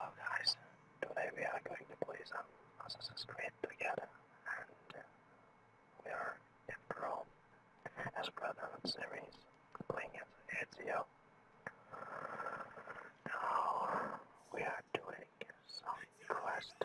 Hello oh, guys, today we are going to play some Assassin's Creed together and uh, we are in Rome as a of the series playing as Ezio. Now we are doing some quest.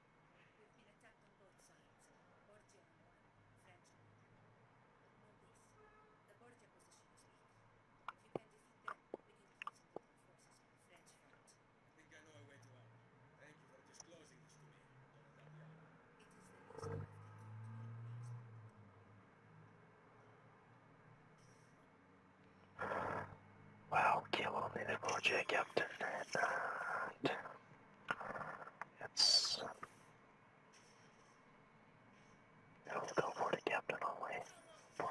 We've been attacked on both sides, Borgia on one, French on the other. But know this, the Borgia position is weak. If you can defeat them, we can concentrate our forces on the French front. I think I know a way to help. Thank you for disclosing this to me, It is the least I can do to help Wow, kill only the project captain and it's i the captain only for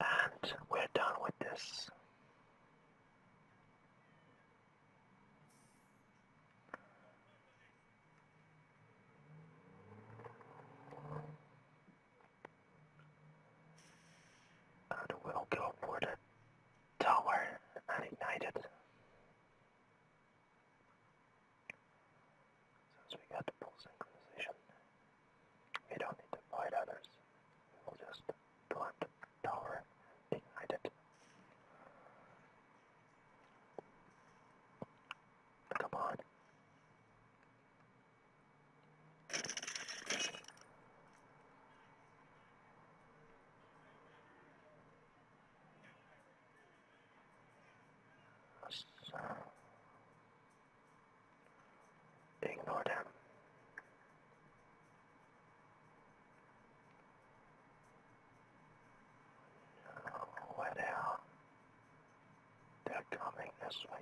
And we're done with this. And we'll go for the tower and ignite it. Since we got the full synchronization, we don't need to fight others. We will just plant the tower and ignite it. Come on. ignore them. What They're coming this way.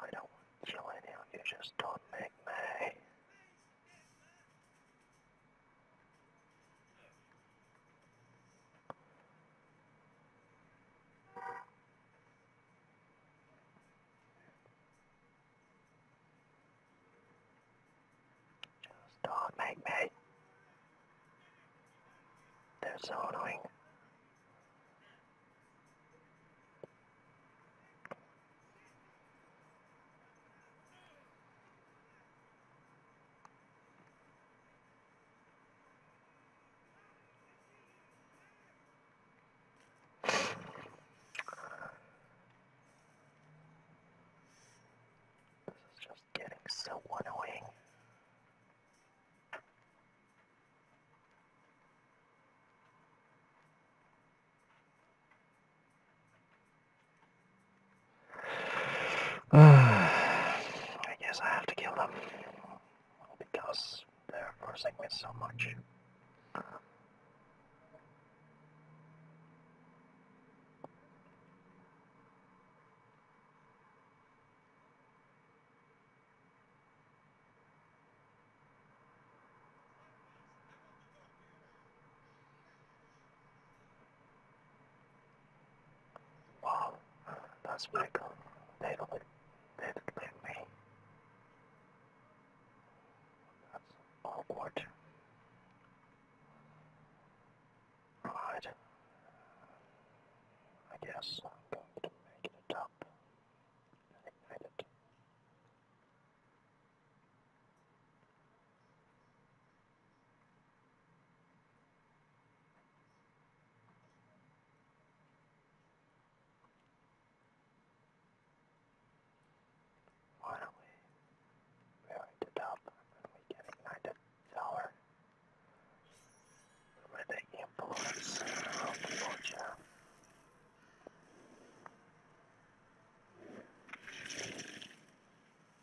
I don't want to kill anyone, you just don't make me. Just don't make me. They're so annoying. This is just getting so annoying. I guess I have to kill them. Because they're forcing me so much. Wow, that's pretty cool. They look like, they look like me. That's awkward. Right. I guess I'm going to make it up and ignite it. Why do we we the top and we can ignite the with the impulse of the vulture.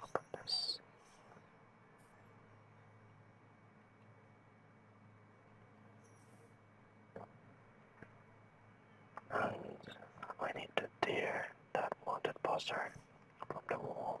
Open this. And I need to tear that wanted poster from the wall.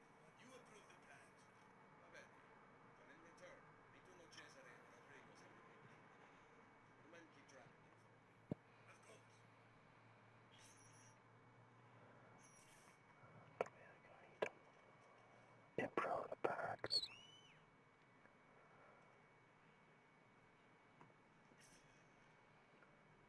You approve the plant. Va bene. But in return, ritorno Cesare and Rodrigo every week. The men keep track of it. Of course. Improve the packs.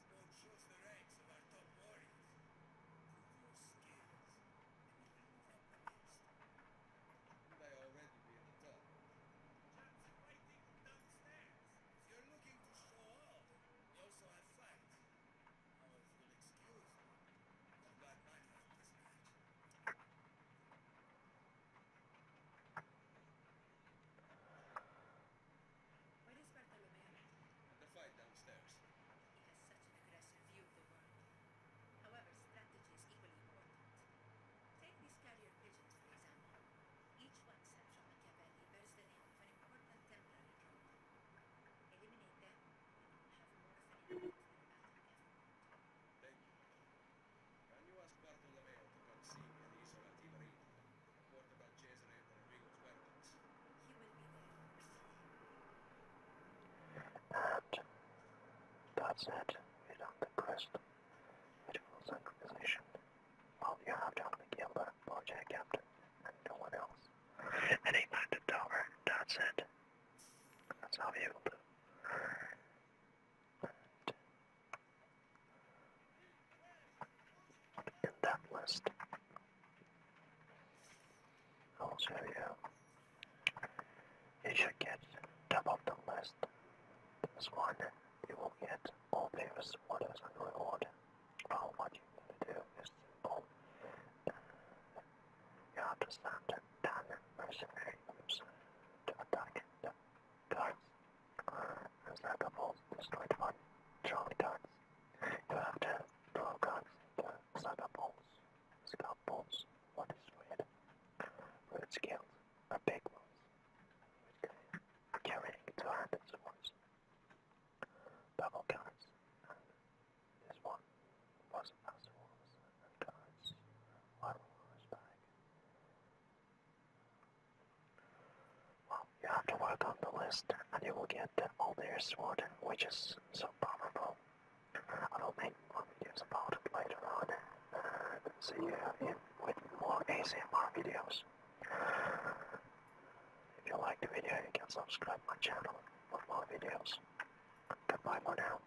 This boat shows the ranks of our top warriors. Prove your skills, and you will from the east. Would I already be at the top? Chance of fighting from downstairs. If you're looking to show off, you also have fight. Now, if you'll excuse me, I've got my this match. Where is Bartolome? the flight downstairs. He has such an aggressive view of the world. However, strategy is equally important. Take these carrier pigeons, for example. Each one sent from Machiavelli bears the name of an important temporary Eliminate them, and you will have more of an a battle ever could. Thank you. Can you ask Bartolomeo to come see warned about Cesare Rodrigo's whereabouts. He that's it. We do All you have John McGilda, Bojack Captain, and no one else. And he back the tower. That's you will do in that list. Also, you, you should get top of the list. This one, you will get all previous orders and reward. Well, what you need to do is simple. You have to send 10 mercenary groups to attack the guards there's destroyed one troglodytes. You have the troglodytes, the saga balls, what is red? Red scales are big ones, carrying 200 swords. Double cards, this one was as swords and cards, one was bag. Well, you have to work on the list, and you will get all their sword, which is so powerful. I will make more videos about it later on, and see you in with more ASMR videos. If you like the video, you can subscribe my channel for more videos. Goodbye for now.